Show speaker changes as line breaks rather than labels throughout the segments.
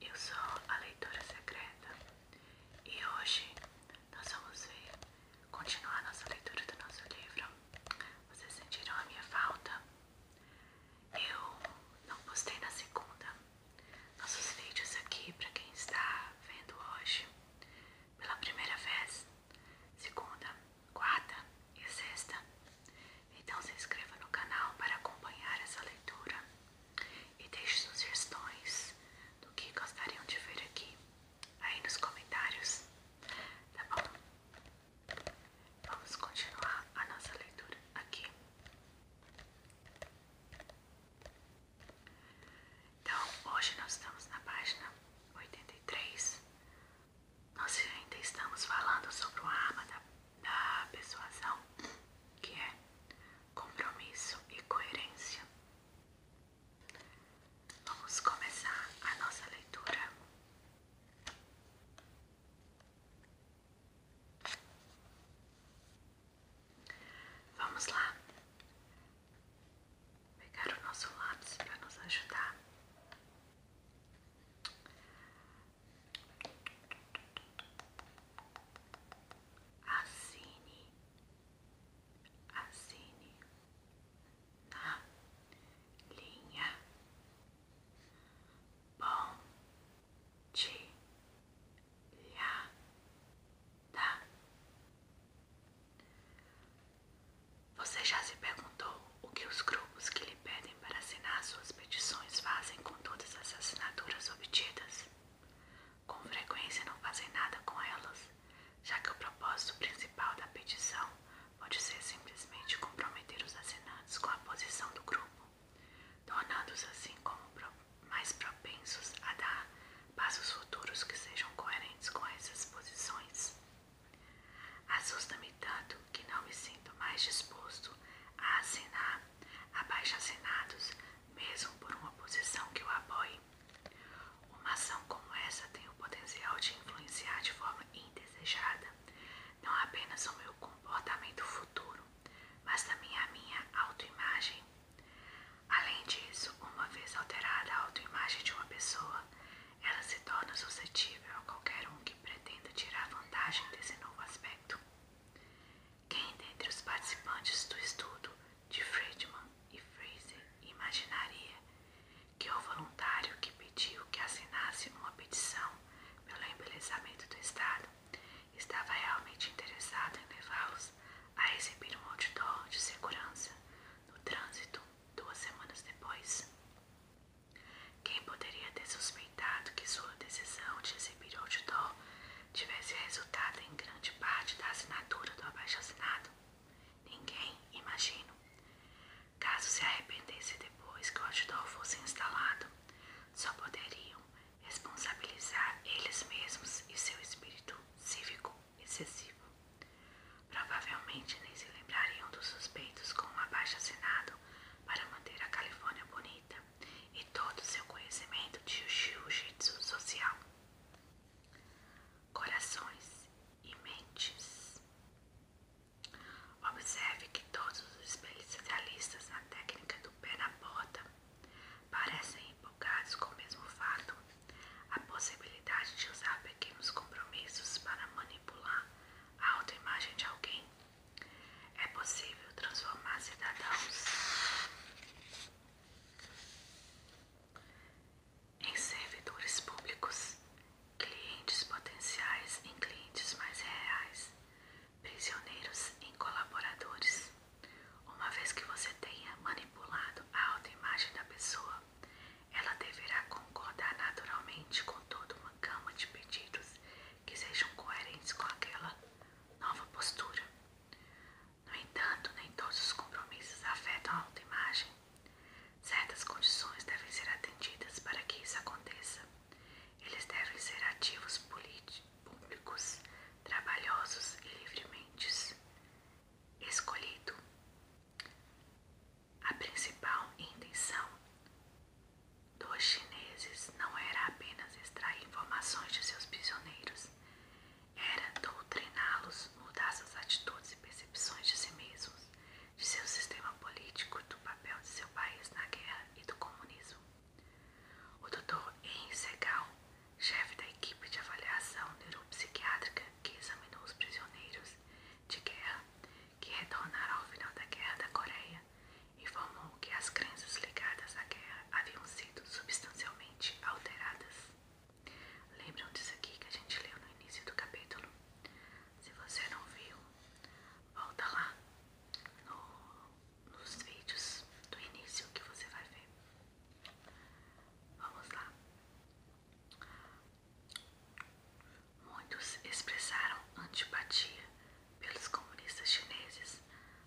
Eu sou a leitora secreta e hoje nós vamos ver, continuar nossa leitura do nosso livro. Vocês sentiram a minha falta? Eu não postei na segunda nossos vídeos aqui para quem está vendo hoje pela primeira vez. Segunda quarta e sexta. Então se inscreva no canal para acompanhar essa leitura e deixe sugestões do que gostariam de ver aqui aí nos comentários. Tá bom? Vamos continuar a nossa leitura aqui. Então, hoje nós estamos na página 83 nós ainda estamos falando sobre o arma da persuasão, que é compromisso e coerência. Vamos começar a nossa leitura. Vamos lá pegar o nosso lápis para nos ajudar. Assine, assine na linha. Bom dia, você já se perguntou o que os grupos que lhe pedem para assinar suas petições fazem com todas as assinaturas obtidas? Com frequência não fazem nada com elas, já que o propósito principal da petição pode ser simplesmente comprometer os assinantes com a posição do grupo, tornando-os assim mais propensos a dar passos futuros que sejam coerentes com essas posições. Assusta-me tanto que não me sinto mais disposto a assinar abaixo-assinados, mesmo por uma posição que o apoie. Uma ação como essa tem o potencial de influenciar de forma indesejada não apenas o meu comportamento futuro, mas também a minha autoimagem. Além disso, uma vez alterada a autoimagem de uma pessoa, ela se torna suscetível a qualquer um que pretenda tirar vantagem desse novo aspecto. Quem dentre os participantes do estudo de Friedman e Fraser imaginaria que o voluntário que pediu que assinasse uma petição pelo embelezamento do Estado estava realmente interessado em levá-los a receber um outdoor de segurança no trânsito duas semanas depois? Quem poderia ter suspeitado que sua decisão de exibir o outdoor tivesse resultado em grande parte da assinatura do abaixo-assinado? Ninguém, imagino. Caso se arrependesse depois que o outdoor fosse instalado, só poderiam responsabilizar eles mesmos e seu espírito cívico excessivo. Provavelmente nem se lembrariam dos suspeitos com um abaixo-assinado para manter a Califórnia bonita e todo seu conhecimento de jiu-jitsu social. Corações e mentes. Observe que todos os especialistas na técnica do pé na porta parecem empolgados com o mesmo fato a possibilidade de usar pequenos compromissos para manipular a autoimagem de alguém. É possível transformar cidadãos em servidores públicos, clientes potenciais em clientes mais reais, prisioneiros em colaboradores. Uma vez que você tenha manipulado a autoimagem da pessoa, ela deverá concordar naturalmente com toda uma gama de pedidos que sejam coerentes com aquela nova postura. No entanto, nem todos os compromissos afetam a alta imagem. Certas condições devem ser atendidas para que isso aconteça. Eles devem ser ativos públicos, trabalhosos e livremente escolhido. A principal intenção dos chineses não era apenas extrair informações de seus prisioneiros, era doutriná-los, mudar suas atitudes e percepções de si mesmos, de seu sistema político, do papel de seu país na guerra e do comunismo. O Dr. En Segal, chefe da equipe de avaliação neuropsiquiátrica que examinou os prisioneiros, de guerra que retornaram ao final da Guerra da Coreia, informou que as crenças ligadas à guerra haviam sido substancialmente alteradas. Lembram disso aqui que a gente leu no início do capítulo? Se você não viu, volta lá nos vídeos do início que você vai ver. Vamos lá. Muitos expressaram antipatia pelos comunistas chineses,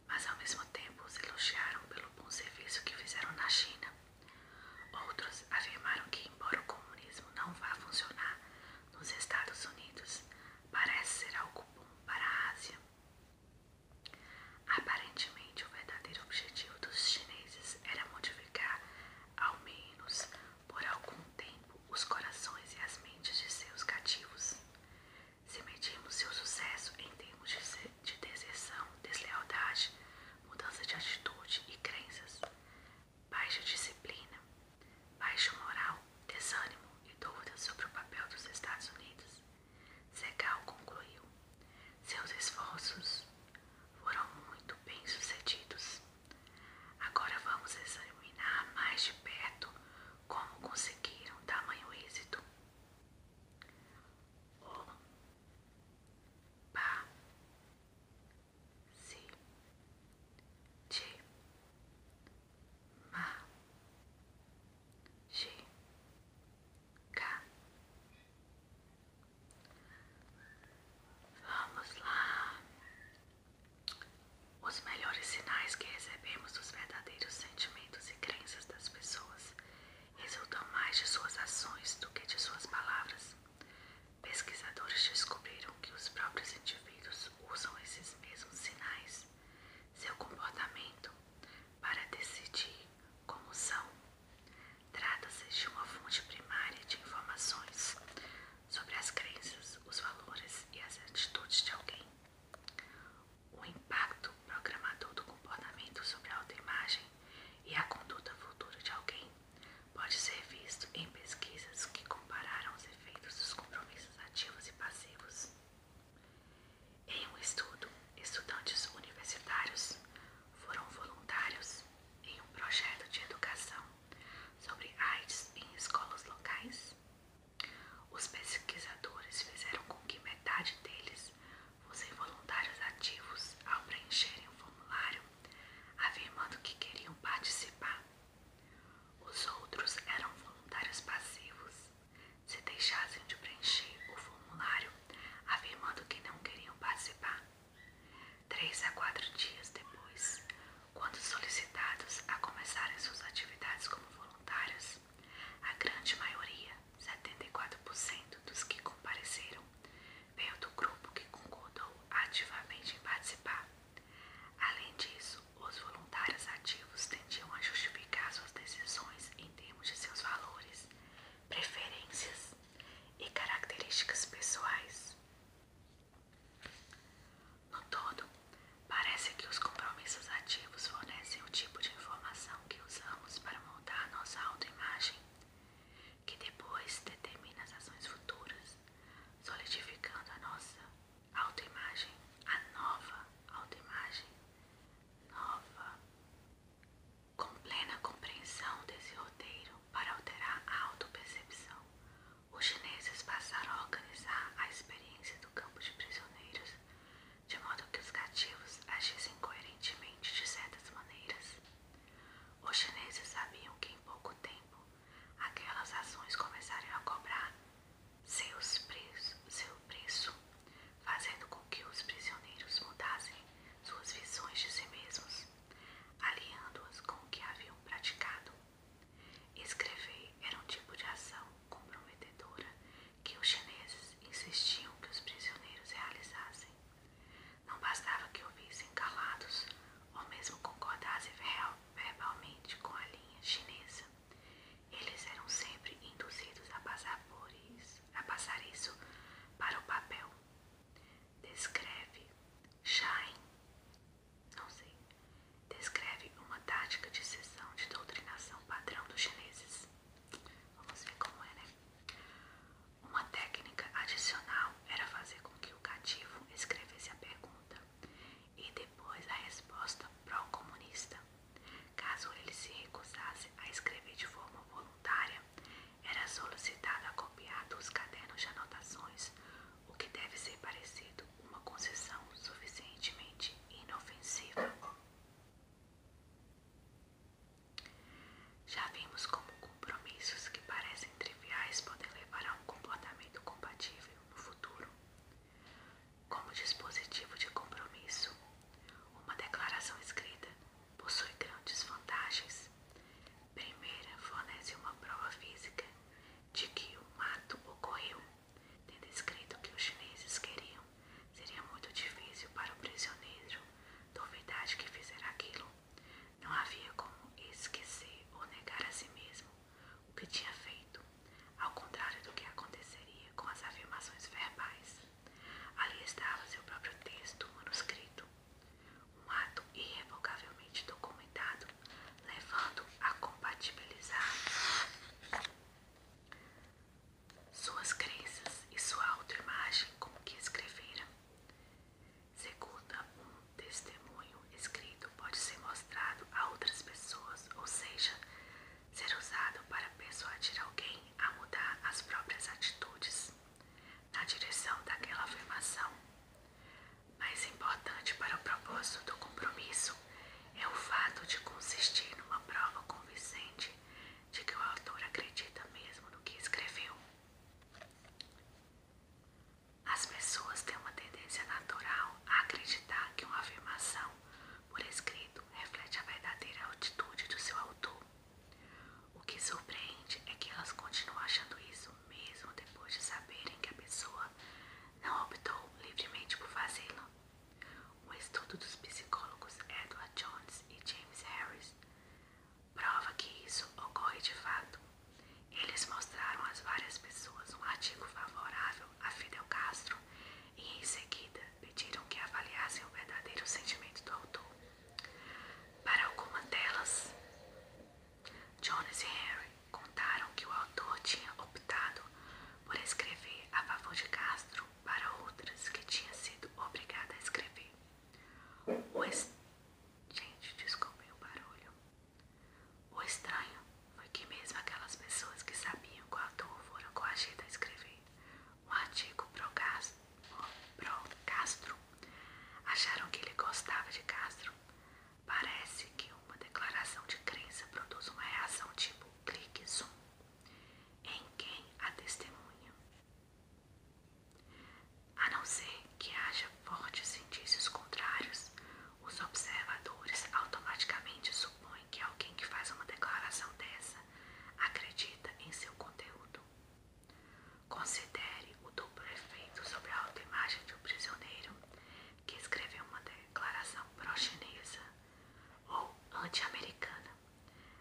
mas ao mesmo tempo se elogiaram pelo bom serviço que fizeram na China. Outros afirmaram que, embora o comunismo não vá funcionar nos Estados Unidos, parece ser algo bom para a Ásia. Aparentemente, o verdadeiro objetivo dos chineses era modificar ao menos por algum tempo, os corações e as mentes de seus cativos. Se medirmos seu sucesso em termos de deserção, deslealdade, mudança de atitude e crenças, baixa disciplina, baixa moral, desânimo e dúvidas sobre o papel dos Estados Unidos, Segal concluiu. Seus esforços foram muito bem sucedidos. Agora vamos examinar mais de perto como conseguiram tamanho êxito. O pa si ti ma G ka Vamos lá. Os melhores sinais que recebemos dos verdadeiros sentimentos e crenças das pessoas resultam mais de suas ações do que de suas palavras. Pesquisadores descobriram que os próprios indivíduos usam esses mesmos sinais, seu comportamento, para decidir como são Trata-se de uma fonte primária de informações sobre as crenças, os valores e as atitudes de alguém. O impacto programador do comportamento sobre a autoimagem e a conduta futura de alguém pode ser visto em pesquisas que compararam os efeitos dos compromissos ativos e passivos. Em um estudo, estudantes universitários foram voluntários em um projeto de educação sobre AIDS em escolas locais. Os pesquisadores fizeram com que metade deles fossem voluntários ativos ao preencherem o formulário, afirmando que queriam participar. Os outros eram voluntários passivos. Se deixassem de preencher o formulário, afirmando que não queriam participar. Três a quatro dias depois, quando solicitados a começarem suas atividades como voluntários, a grande maioria, 74% dos que compareceram, veio do grupo que concordou ativamente em participar. Além disso, os voluntários ativos tendiam a justificar suas decisões em termos de seus valores preferências e características pessoais. No todo, parece que os compromissos ativos fornecem o tipo de informação que usamos para moldar nossa autoimagem, que depois determina as ações futuras, solidificando a nossa autoimagem, a nova autoimagem, nova com plena compreensão desse roteiro para alterar a auto-percepção, os chineses passaram a organizar a experiência do campo de prisioneiros, de modo que os cativos agissem coerentemente de certas maneiras. Os chineses sabiam que em pouco tempo aquelas ações começariam a cobrar seu preço, fazendo com que os prisioneiros mudassem suas visões de si mesmos, aliando-as com o que haviam praticado. Escrever era um tipo de ação comprometedora que os chineses insistiam que os prisioneiros realizassem. Não bastava que ouvissem calados ou mesmo concordassem verbalmente com a linha chinesa. Eles eram sempre induzidos a passar por isso a passar isso para o papel. Descreve Shine, não sei, descreve uma tática de sessão de doutrinação padrão dos chineses. Vamos ver como é, né? Uma técnica adicional era fazer com que o cativo escrevesse a pergunta e depois a resposta pró-comunista, caso ele se recusasse a escrever de forma voluntária era solicitada a copiar dos cadernos de anotações, o que deve ser parecido uma concessão suficientemente inofensiva. Já vimos como compromissos que parecem triviais podem levar a um comportamento compatível no futuro. Como dispositivo de compromisso, uma declaração escrita possui grandes vantagens. Primeira, fornece uma prova física de que o mato ocorreu, tendo escrito o que os chineses queriam. Seria muito difícil para o prisioneiro duvidar de que fizera aquilo. Não havia como esquecer ou negar a si mesmo o que tinha feito, ao contrário do que aconteceria com as afirmações verbais. Ali estava seu próprio texto manuscrito, um ato irrevogavelmente documentado, levando a compatibilizar suas crenças e sua autoimagem com o que escreveram. Segunda, um testemunho escrito pode ser mostrado a outras pessoas, ou seja, ser usado para persuadir alguém a mudar as próprias atitudes na direção daquela afirmação. Mais importante para o propósito do compromisso é o fato de consistir numa prova convincente de que o autor acredita mesmo no que escreveu. As pessoas têm uma tendência natural a acreditar que uma afirmação por escrito reflete a verdadeira atitude do seu autor. O que surpreende é que elas continuam achando isso mesmo depois de saberem que a pessoa não optou livremente por fazê-lo. O estudo dos psicólogos Edward Jones e James Harris prova que isso ocorre de fato. Eles mostraram às várias pessoas um artigo favorável a Fidel Castro e, em seguida, pediram que avaliassem o verdadeiro sentimento do autor. Para algumas delas, Jones e Henry contaram que o autor tinha optado por escrever a favor de Castro para outras que tinha sido obrigada a escrever. O Gente, desculpem o barulho. O estranho foi que mesmo aquelas pessoas que sabiam que o autor foram coagidas a escrever um artigo pro Castro. Acharam que ele gostava de Castro. Parece que uma declaração de crença produz uma reação tipo clique zoom em quem a testemunha. A não ser que haja fortes indícios contrários, os observadores automaticamente supõem que é alguém que faz uma declaração dessa acredita em seu conteúdo. Considere o duplo efeito sobre a alta imagem de um prisioneiro que escreveu uma declaração pró-chinesa ou anti-americana.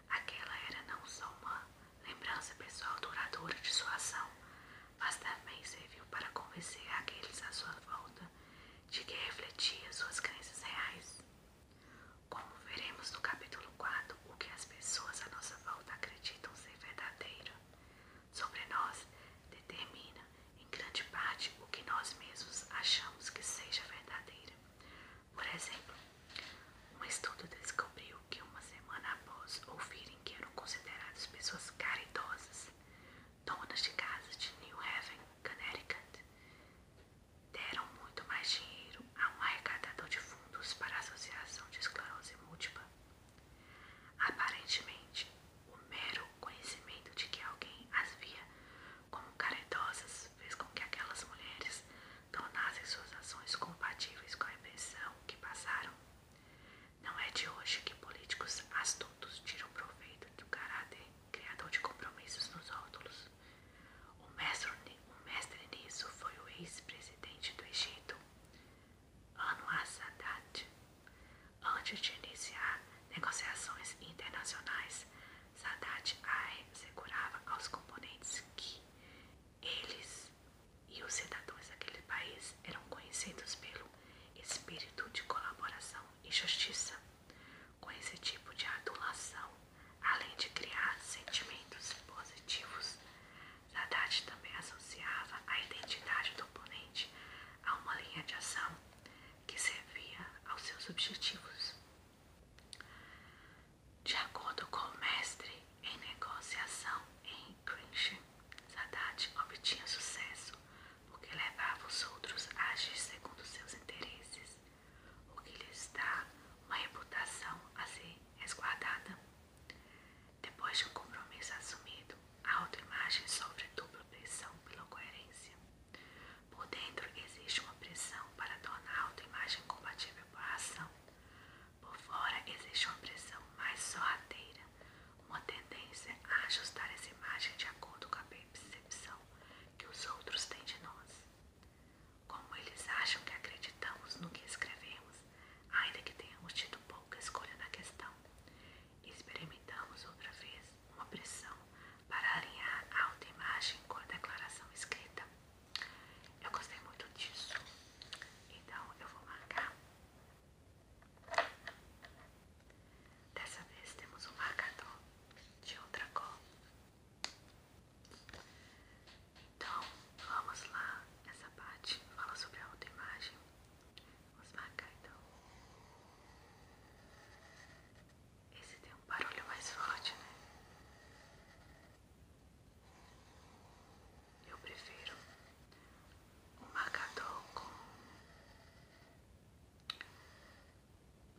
Aquela era não só uma lembrança pessoal duradoura de sua ação, mas também serviu para convencer aqueles à sua volta de que refletia suas crenças reais. Como veremos no capítulo 4, o que as pessoas à nossa volta acreditam ser verdadeiro sobre nós determina, em grande parte, o que nós mesmos achamos que seja verdadeiro. Por exemplo, um estudo descobriu que uma semana após ouvirem que eram consideradas pessoas caridosas, donas de casa de New Haven, Connecticut, deram muito mais dinheiro a um arrecadador de fundos para a Associação de Esclerose Múltipla. Aparentemente, o mero conhecimento de que alguém as via como caridosas fez com que aquelas mulheres tornassem suas ações compatíveis com a impressão que passaram. Não é de hoje que políticos astutos tiram proveito do caráter criador de compromissos nos rótulos. O mestre, o mestre nisso foi o ex-presidente do Egito, Anwar Sadat. Antes de iniciar negociações internacionais, Sadat assegurava aos componentes que eles e os cidadãos daquele país eram conhecidos pelo espírito de colaboração e justiça. Com esse tipo de adulação, além de criar sentimentos positivos, Haddad também associava a identidade do oponente a uma linha de ação que servia aos seus objetivos. De acordo com o mestre em negociação em Grinchen, Haddad obtinha sucesso porque levava os outros a agir segundo seus interesses o que lhes dá uma reputação a ser resguardada. Depois de um compromisso assumido, a autoimagem sofre dupla pressão pela coerência. Por dentro existe uma pressão para tornar a autoimagem compatível com a ação. Por fora existe uma pressão mais sorrateira, uma tendência a ajustar essa imagem de acordo com a percepção que os outros têm de nós. Como eles acham que acreditamos no que escrevemos, ainda que tenhamos tido pouca escolha na questão, experimentamos outra vez uma pressão para alinhar a autoimagem com a declaração escrita. Eu gostei muito disso, então eu vou marcar Dessa vez temos um marcador de outra cor. Então, vamos lá. Essa parte fala sobre a outra imagem. Vamos marcar então. Esse tem um barulho mais forte, né? Eu prefiro o marcador com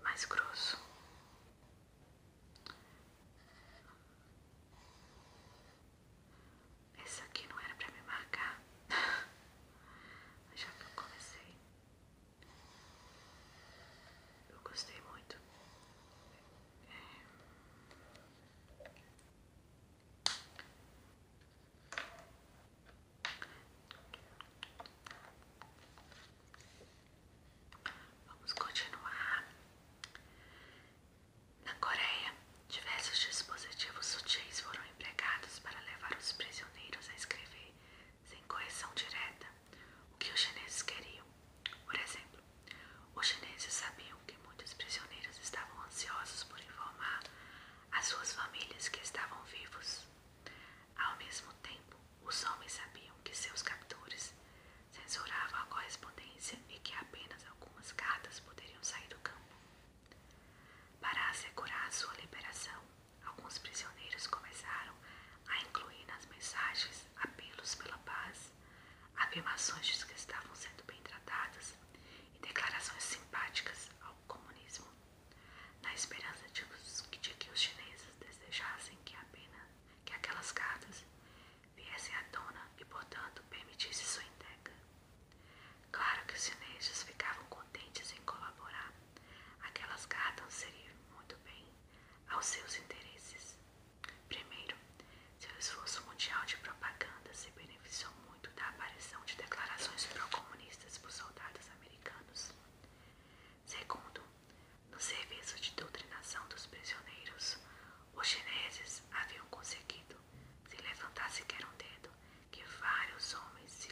mais grosso. Esse aqui não era pra me marcar, mas já que eu comecei, eu gostei muito. Vamos continuar. Na Coreia, diversos dispositivos sutis foram empregados para levar os prisioneiros a escrever sem correção direta o que os chineses queriam. Por exemplo, os chineses sabiam que muitos prisioneiros estavam ansiosos por informar as suas famílias que estavam vivos. Ao mesmo tempo, os homens sabiam que seus captores censuravam a correspondência e que apenas algumas cartas poderiam sair do campo. Para assegurar sua liberação, alguns prisioneiros começaram a incluir nas mensagens apelos pela paz, afirmações de que estavam sendo bem tratadas e declarações simpáticas ao comunismo na esperança de, que os chineses desejassem que apenas que aquelas cartas viessem à tona e, portanto, permitisse sua entrega. Claro que os chineses ficavam contentes em colaborar. Aquelas cartas seriam muito bem aos seus interesses. Primeiro, seu esforço mundial de propaganda se beneficiou muito da aparição de declarações pró-comunistas por soldados americanos. Segundo, no serviço de doutrinação dos prisioneiros, os chineses haviam conseguido, se levantar sequer um dedo, que vários homens se,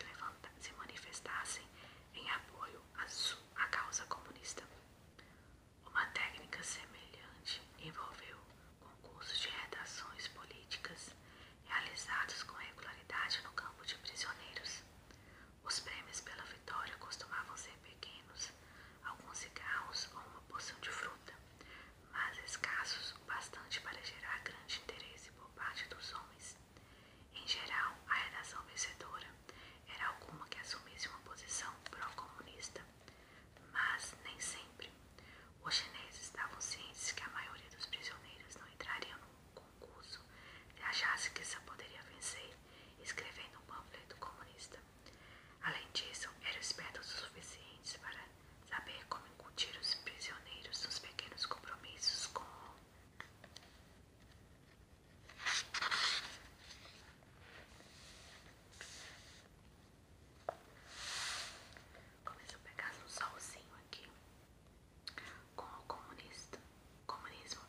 manifestassem em apoio à, à causa comunista. Uma técnica semelhante envolveu concursos de redações políticas realizados com regularidade no campo de prisioneiros. Os prêmios pela vitória costumavam ser pequenos, alguns cigarros ou uma porção de fruta, mas escassos o bastante para gerar grande interesse por parte dos homens. Em geral, a redação vencedora era alguma que assumisse uma posição pró-comunista, mas nem sempre. Os chineses estavam cientes que a maioria dos prisioneiros não entrariam no concurso se achasse que só poderia vencer escrevendo um panfleto comunista. Além disso, era esperto o suficiente para saber como incutir os prisioneiros dos pequenos compromissos com Começou a pegar um solzinho aqui com o comunista, comunismo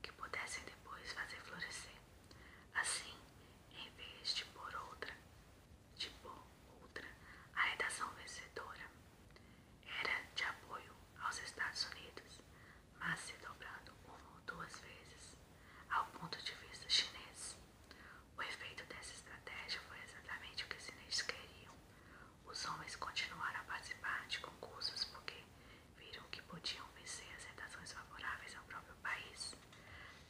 que pudessem depois fazer florescer. Assim, em vez de por outra, de por outra, a redação vencedora era de apoio aos Estados Unidos, mas se dobrando uma ou duas vezes ao ponto de vista chinês. O efeito dessa estratégia foi exatamente o que os chineses queriam, os homens continuaram a participar de concursos porque viram que podiam vencer as redações favoráveis ao próprio país.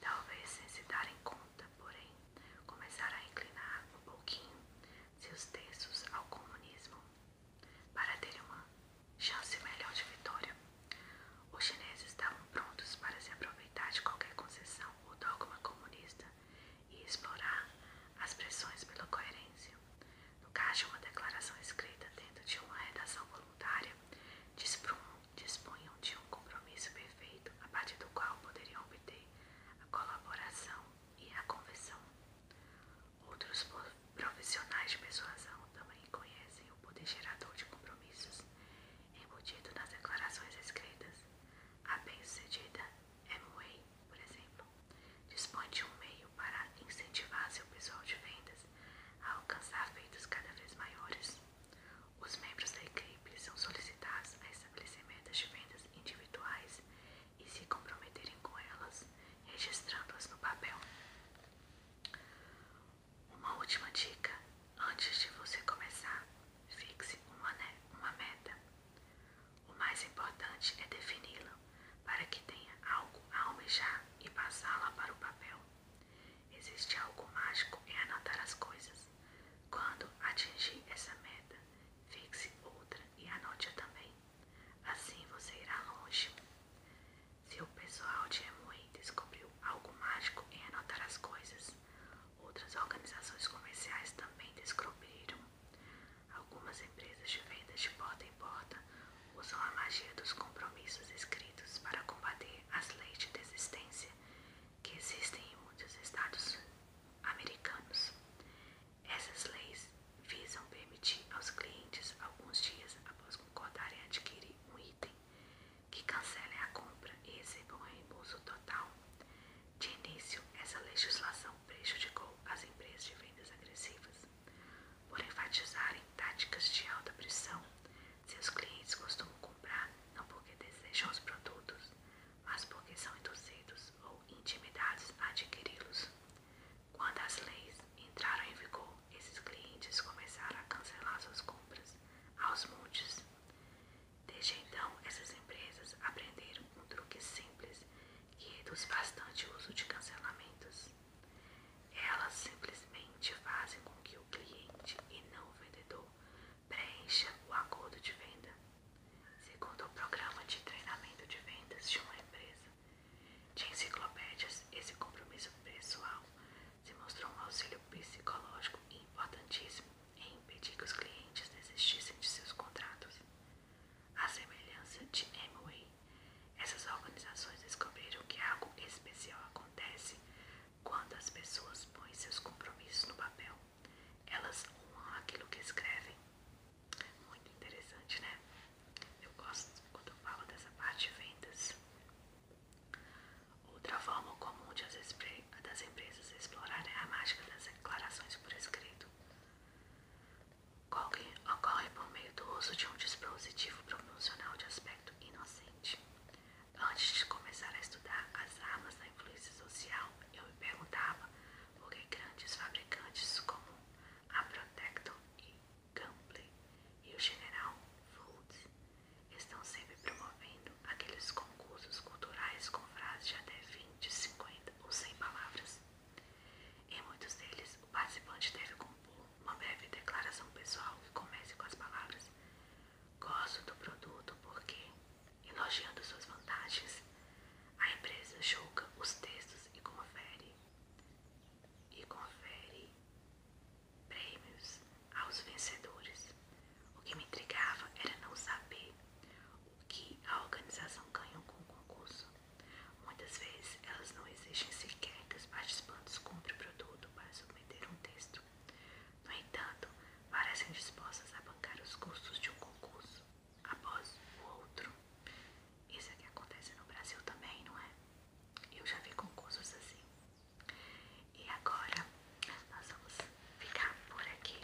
Talvez sem se darem conta, porém, começaram a inclinar um pouquinho seus textos ao comunismo para terem uma chance melhor de vitória. Os chineses estavam prontos para se aproveitar de qualquer concessão ou dogma comunista e explorar as pressões pela coerência. No caso de uma declaração escrita dentro de uma redação voluntária, dispunham de um compromisso perfeito a partir do qual poderiam obter a colaboração e a conversão. Outros profissionais de persuasão também conhecem o poder gerador de compromissos embutido nas declarações escritas. A bem-sucedida Amway, por exemplo, dispõe de um meio para incentivar seu pessoal de vendas a alcançar feitos cada vez maiores. Os membros da equipe são solicitados a estabelecer metas de vendas individuais e se comprometerem com elas, registrando-as no papel. Uma última dica: antes de você começar, fixe uma meta. O mais importante é defini-la, para que tenha algo a almejar e passá-la para o papel. Existe algo mágico em anotar as coisas. Quando atingir essa meta, fixe outra e anote-a também. Assim você irá longe. Se o pessoal de Emui descobriu algo mágico em anotar as coisas, Outras organizações comerciais também descobriram. Algumas empresas de vendas de porta em porta usam a magia dos compromissos escritos para combater as leis de desistência que existem em muitos estados americanos. Essas leis visam permitir aos clientes, alguns dias após concordarem adquirir um item, que cancelem a compra e recebam um reembolso total. De início, essa legislação prejudicou as empresas de vendas agressivas. Por enfatizarem táticas de alta pressão, seus clientes costumam comprar não porque desejam os produtos, mas porque são induzidos ou intimidados a adquiri-los. Quando as leis entraram em vigor, esses clientes começaram a cancelar suas compras aos montes. Desde então, essas empresas aprenderam um truque simples que reduz bastante o uso de cancelamentos. Elas simplesmente fazem com que o cliente e não o vendedor preencha o acordo de venda. Segundo o programa de treinamento de vendas de uma empresa de enciclopédias, esse compromisso pessoal se mostrou um auxílio psicológico importantíssimo em impedir que os clientes desistissem de seus contratos. À semelhança de Amway, essas organizações descobriram que algo especial acontece quando as pessoas põem seus compromissos no papel. Elas honram aquilo que escrevem. Muito interessante, né? Eu gosto quando eu falo dessa parte de vendas. Outra forma comum de as expressões das empresas explorarem a mágica das declarações por escrito. Golging ocorre por meio do uso de um dispositivo promocional de aspecto inocente. Antes de começar a estudar as armas da influência social, eu me perguntava por que grandes fabricantes como a Protecton e Gunplay e o General Foods estão sempre promovendo aqueles concursos culturais com frases de até 20, 50 ou 100 palavras. Em muitos deles, o participante deve compor uma breve declaração pessoal que comece com as palavras Gosto do produto porque, elogiando suas vantagens, a empresa julga os textos e confere e confere prêmios aos vencedores. O que me intrigava era não saber o que a organização ganhou com o concurso. Muitas vezes elas não exigem sequer que os participantes cumpram o produto para submeter um texto. No entanto, parecem dispostas a bancar os custos de um concurso após o outro. Isso é que acontece no Brasil também, não é? Eu já vi concursos assim. E agora nós vamos ficar por aqui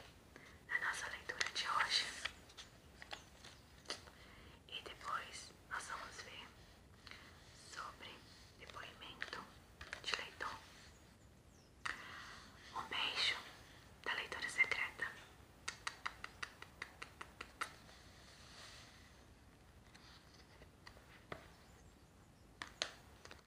na nossa leitura de hoje. E depois nós vamos ver sobre depoimento de leitor. Um beijo da leitura secreta.